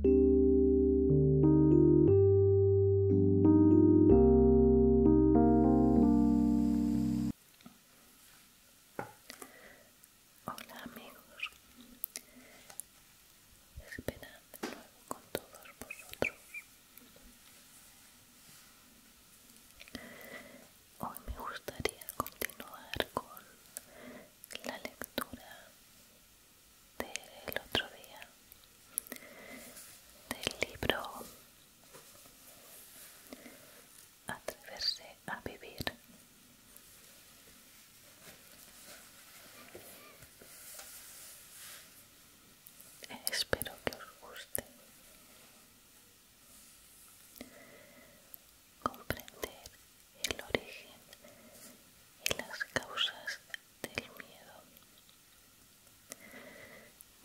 Hola amigos, esperad de nuevo con todos vosotros Hoy me gustaría continuar con la lectura del otro día del libro Atreverse a vivir. Espero que os guste. Comprender el origen y las causas del miedo.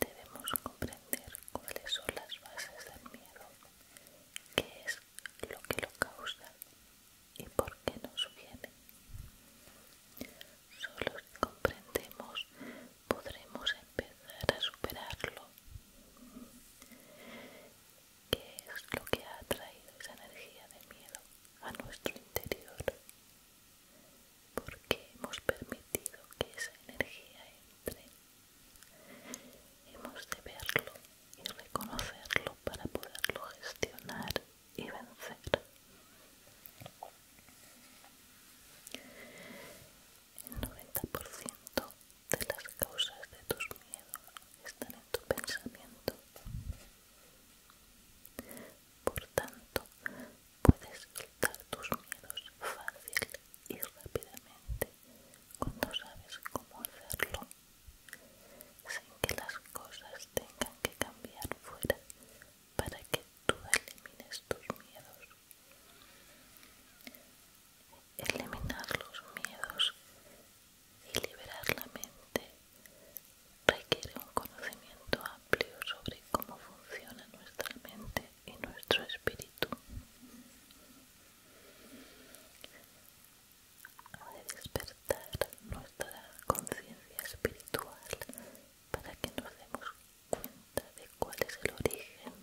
Debemos comprender cuáles son las bases del miedo, qué es lo que lo causa y por qué nos viene. Solo si comprendemos podremos empezar a superarlo qué es lo que ha traído esa energía de miedo a nuestro interior, porque hemos permitido que esa energía entre. Hemos de verlo y reconocerlo para poderlo gestionar y vencer. El 90% de las causas de tus miedos están en tu pensamiento. Por tanto, puedes quitar tus miedos fácil y rápidamente cuando sabes cómo hacerlo, sin que las cosas tengan que cambiar fuera para que tú elimines tus miedos eliminar los miedos y liberar la mente requiere un conocimiento amplio sobre cómo funciona nuestra mente y nuestro espíritu. Ha de despertar nuestra conciencia espiritual para que nos demos cuenta de cuál es el origen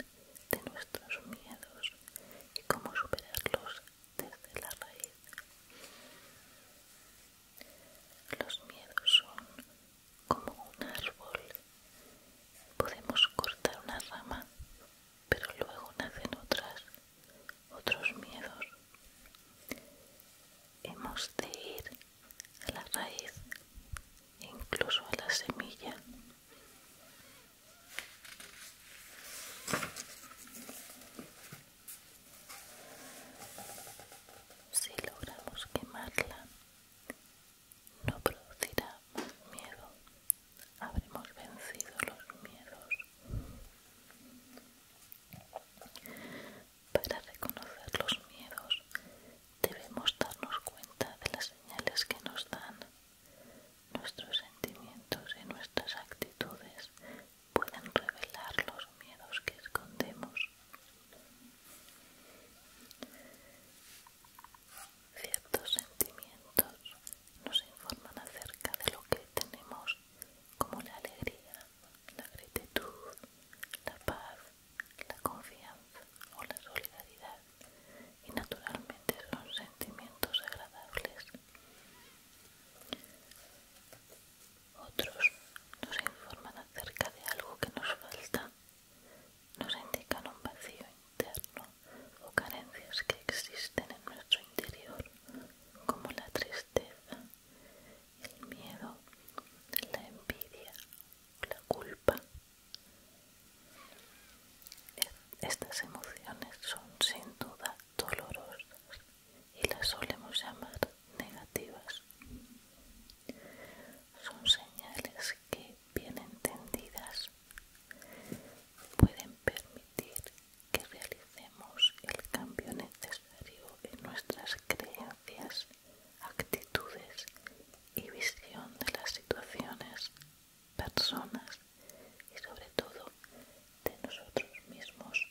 de nuestros miedos y cómo superarlos desde la raíz. Los miedos son como un árbol. Podemos cortar una rama, pero luego nacen otras, otros miedos. Hemos de ir a la raíz, incluso a la semilla, si logramos quemarla, no producirá más miedo. Habremos vencido los miedos. Para reconocer los miedos, debemos darnos cuenta de las señales que nos dan Nuestros sentimientos y nuestras actitudes pueden revelar los miedos que escondemos. Ciertos sentimientos nos informan acerca de lo que tenemos, como la alegría, la gratitud, la paz, la confianza o la solidaridad, y naturalmente son sentimientos agradables. Otros nos informan acerca de algo que nos falta, nos indican un vacío interno o carencias que existen en nuestro interior, como la tristeza, el miedo, la envidia, la culpa, estas emociones son sin duda dolorosas y las solemos llamar negativas. Son señales que, bien entendidas, pueden permitir que realicemos el cambio necesario en nuestras creencias, actitudes y visión de las situaciones personas y sobre todo de nosotros mismos.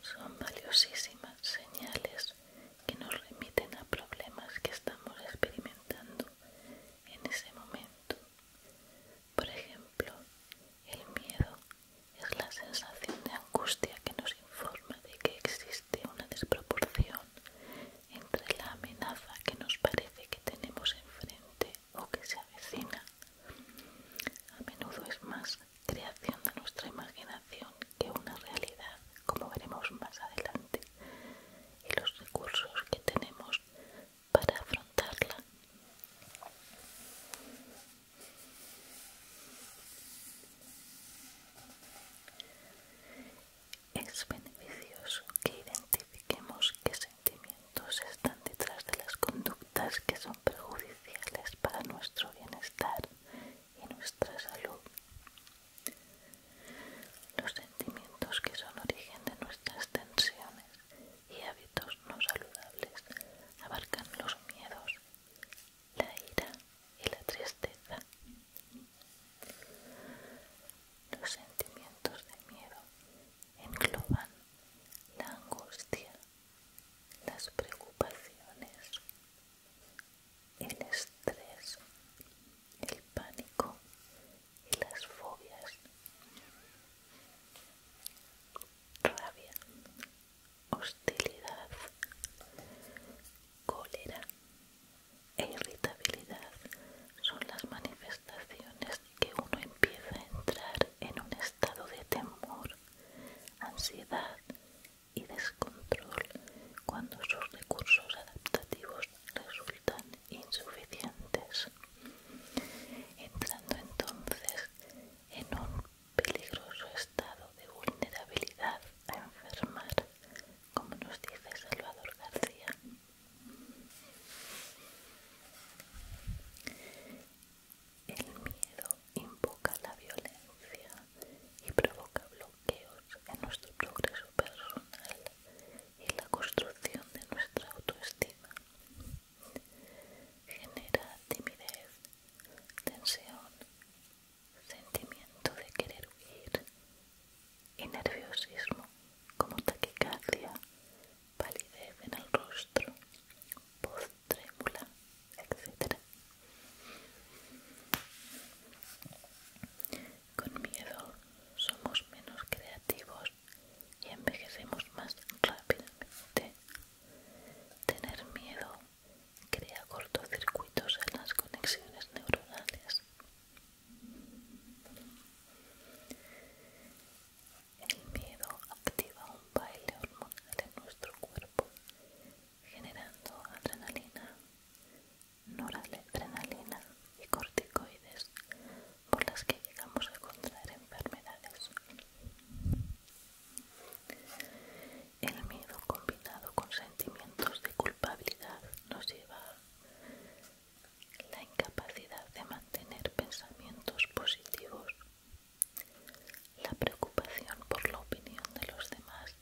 Son valiosísimas señales que nos remiten a problemas que estamos experimentando en ese momento. Por ejemplo, el miedo es la sensación de angustia que nos informa de que existe una desproporción entre la amenaza que nos parece que tenemos enfrente o que se avecina. A menudo es más creación de nuestra imaginación que una realidad, como veremos más adelante, y los recursos que tenemos para afrontarla. Es beneficioso que identifiquemos qué sentimientos están detrás de las conductas que son perjudiciales para nuestro bienestar y nuestra salud. Los sentimientos que son origen de nuestras tensiones y hábitos no saludables abarcan los miedos, la ira y la tristeza, los sentimientos de miedo engloban la angustia, las preocupaciones, el estrés, el pánico y las fobias. Rabia, hostilidad, cólera, e irritabilidad son las manifestaciones que uno empieza a entrar en un estado de temor, ansiedad y descontrol cuando sus recursos adaptativos resultan insuficientes, entrando entonces en un peligroso estado de vulnerabilidad a enfermar, como nos dice Salvador García. El miedo invoca la violencia y provoca bloqueos en nuestro progreso personal y la construcción de nuestra autoestima. Genera timidez, tensión, sentimiento de querer huir y nerviosismo como taquicardia, palidez en el rostro, voz trémula, etc. Con miedo somos menos creativos y envejecemos más rápidamente. Tener miedo crea cortocircuitos en las conexiones neuronales el miedo activa un baile hormonal en nuestro cuerpo, generando adrenalina, noradrenalina y corticoides por las que llegamos a contraer enfermedades. El miedo combinado con sentimientos de culpabilidad nos lleva la incapacidad de mantener pensamientos positivos, la preocupación por la opinión de los demás,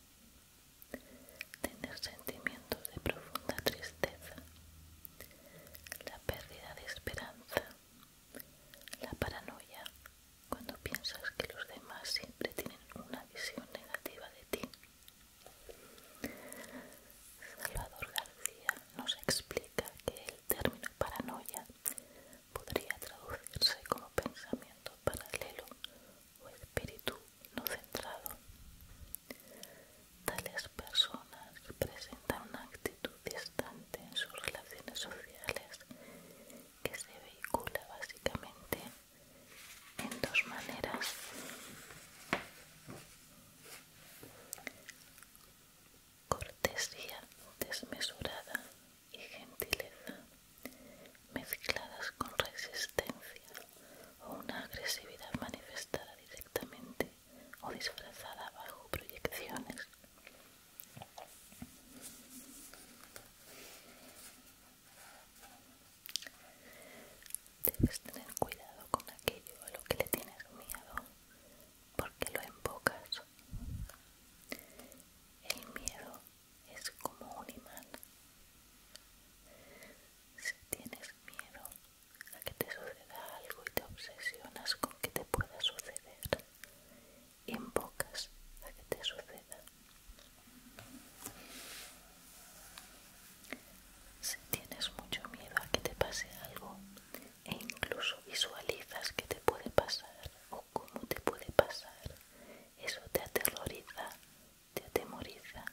tener sentimientos de profunda tristeza, la pérdida de esperanza, la paranoia cuando piensas que los demás siempre tienen una visión negativa de ti Salvador García nos explica que el término paranoia podría traducirse como pensamiento paralelo o espíritu no centrado. Tales personas presentan una actitud distante en sus relaciones sociales que se vehicula básicamente en dos maneras cortesía desmesurada y gentileza mezcladas con resistencia o una agresividad manifestada directamente o disfrazada bajo proyecciones Debes tener cuidado con aquello a lo que le tienes miedo, porque lo invocas El miedo es como un imán. Si tienes miedo a que te suceda algo y te obsesionas con que te pueda suceder, invocas a que te suceda. Si tienes mucho miedo a que te pase algo e incluso visualizas que te puede pasar o cómo te puede pasar, eso te aterroriza, te atemoriza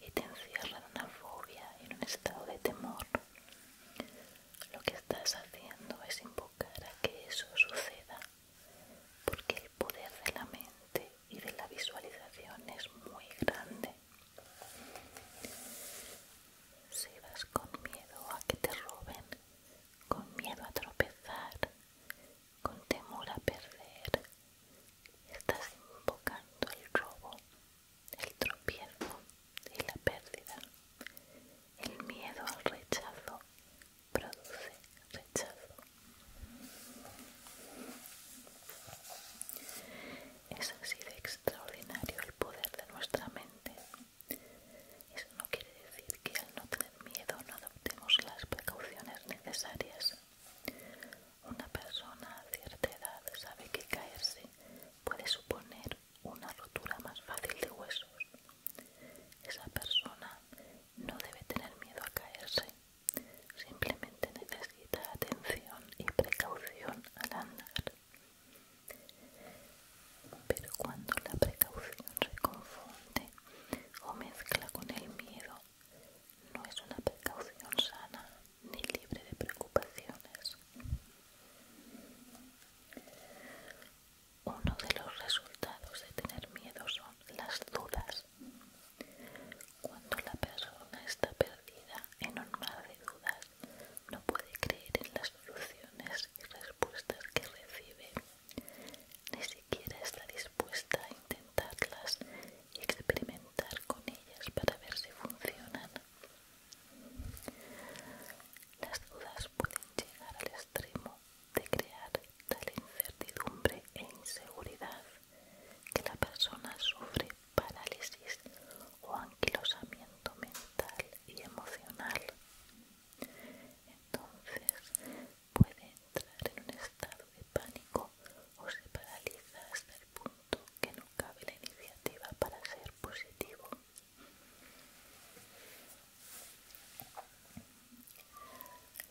y te encierra en una fobia, en un estado de temor. Lo que estás haciendo es invocar a que eso suceda, porque el poder de la mente y de la visualización es muy grande. Si vas con miedo a que te roben, con miedo a tropezar, con temor a perder, estás invocando el robo, el tropiezo y la pérdida. El miedo al rechazo produce rechazo. Es así de extraordinario el poder de nuestra mente. Eso no quiere decir que al no tener miedo no adoptemos las precauciones necesarias. Una persona a cierta edad sabe que caerse puede suponer una rotura más fácil de huesos. Esa persona no debe tener miedo a caerse Simplemente necesita atención y precaución al andar. Pero cuando la precaución se confunde o mezcla con el miedo, no es una precaución sana ni libre de preocupaciones. Uno de los resultados de tener miedo son las dudas. Cuando la persona está perdida en un mar de dudas, no puede creer en las soluciones y respuestas que recibe, ni siquiera está dispuesta a intentarlas y experimentar con ellas para ver si funcionan. Las dudas pueden llegar al extremo de crear tal incertidumbre e inseguridad que la persona sufre parálisis o anquilosamiento mental y emocional. Entonces puede entrar en un estado de pánico o se paraliza hasta el punto que no cabe la iniciativa para ser positivo.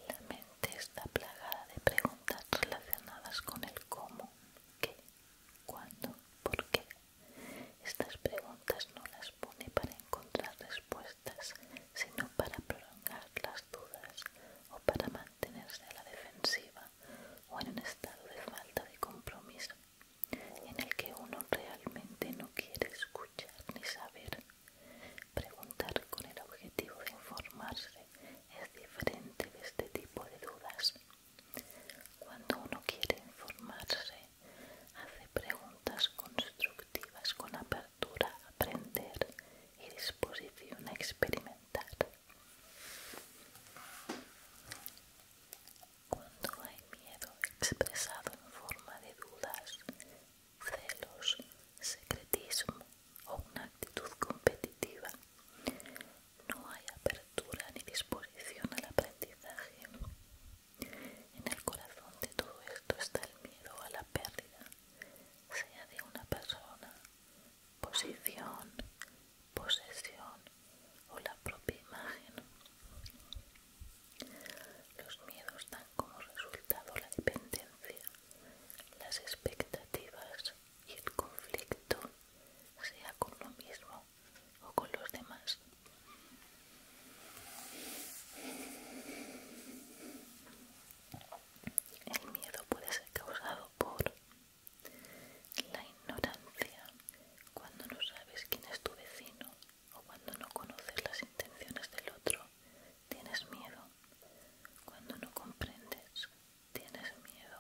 La mente está plagada de preguntas relacionadas con el cómo, qué, cuándo, por qué. Estas preguntas no las pone para encontrar respuestas, sino para prolongar las dudas o para mantenerse a la defensiva o en un estado de falta de compromiso en el que uno realmente no quiere escuchar ni saber. Preguntar con el objetivo de informarse es diferente de este tipo de dudas. Cuando uno quiere informarse, hace preguntas constructivas con apertura a aprender y disposición a experimentar. Cuando hay miedo expresado en forma de dudas, celos, secretismo, o una actitud competitiva. No hay apertura ni disposición al aprendizaje. En el corazón de todo esto está el miedo a la pérdida, sea de una persona, posición, posesión o la propia imagen. Los miedos dan como resultado la dependencia, las expectativas, y el conflicto sea con lo mismo o con los demás. El miedo puede ser causado por la ignorancia, cuando no sabes quién es tu vecino o cuando no conoces las intenciones del otro, tienes miedo. Cuando no comprendes tienes miedo.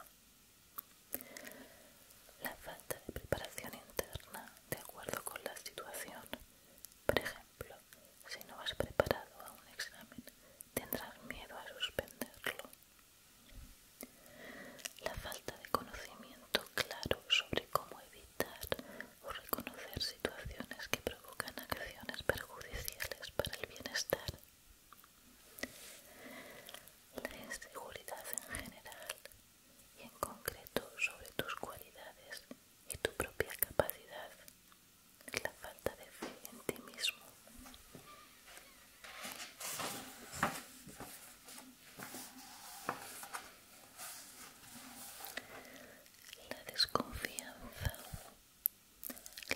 La falta de preparación interna de acuerdo con la situación. Por ejemplo, si no has preparado a un examen, tendrás miedo a suspenderlo. La falta de conocimiento claro sobre cómo evitar o reconocer situaciones que provocan acciones perjudiciales para el bienestar. La inseguridad en general y en concreto sobre tus cualidades y tu propia capacidad, la falta de fe en ti mismo. La desconfianza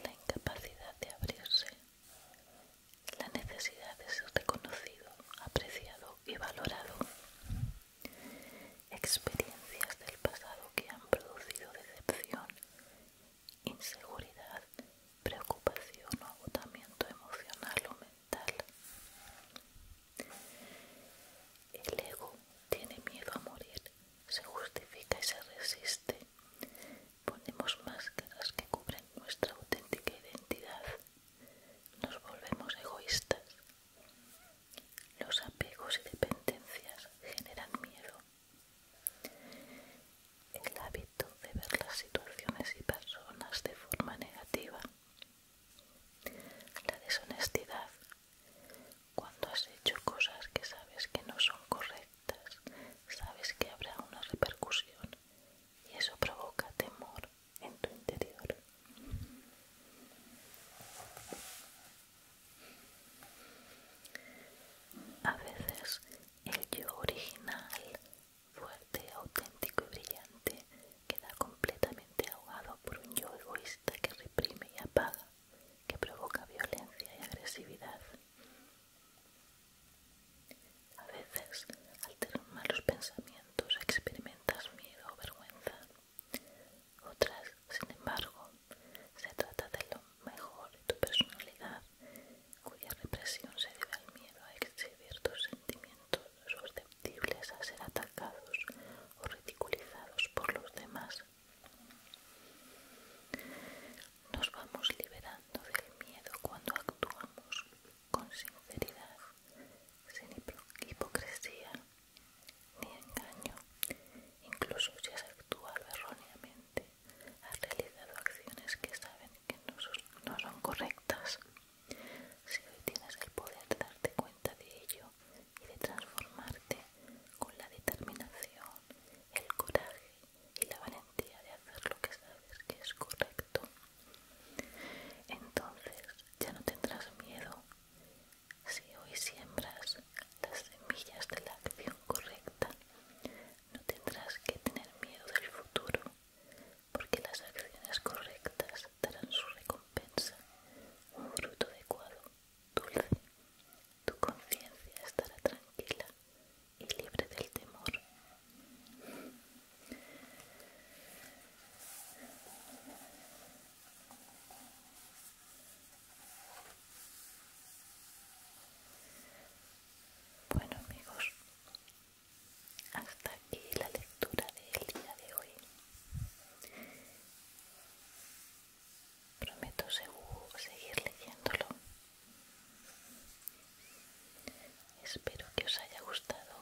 la incapacidad de abrirse. La necesidad de ser reconocido, apreciado y valorado. Experiencias del pasado que han producido decepción, inseguridad, preocupación o agotamiento emocional o mental. El ego tiene miedo a morir, se justifica y se resiste. Ponemos máscaras que cubren nuestra auténtica identidad. Nos volvemos egoístas. Los apegos y dependencias generan miedo. El hábito de ver las situaciones y personas de forma negativa. La deshonestidad. Cuando has hecho cosas que sabes que no son correctas sabes que habrá una repercusión y eso provoca temor en tu interior. A veces el yo original, fuerte, auténtico y brillante, queda completamente ahogado por un yo egoísta que reprime y apaga, que provoca violencia y agresividad. A veces, al tener malos pensamientos, experimentas miedo o vergüenza. Otras, sin embargo, se trata de lo mejor de tu personalidad, cuya represión se debe al miedo a exhibir tus sentimientos susceptibles a ser atacados o ridiculizados por los demás. Nos vamos liberando del miedo cuando actuamos con sinceridad, sin hipocresía ni engaño. Incluso si has actuado erróneamente, has realizado acciones que saben que no son, correctas. Si hoy tienes el poder de darte cuenta de ello y de transformarte con la determinación, el coraje y la valentía de hacer lo que sabes que es correcto. Entonces ya no tendrás miedo si hoy siembras las semillas de la acción correcta. No tendrás que tener miedo del futuro, porque las acciones correctas darán su recompensa, un fruto adecuado, dulce. Tu conciencia estará tranquila y libre del temor. Bueno amigos, hasta aquí la lectura del día de hoy. Prometo seguir leyéndolo Espero que os haya gustado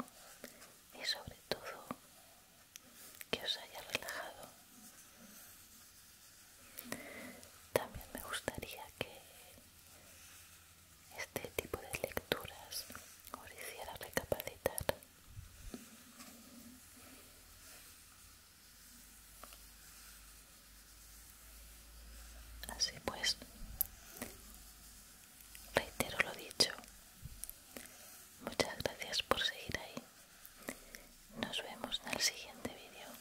y sobre todo que os haya relajado. También me gustaría que este tipo de lecturas os hiciera recapacitar. Así pues, reitero lo dicho. Muchas gracias por seguir ahí. Nos vemos en el siguiente vídeo.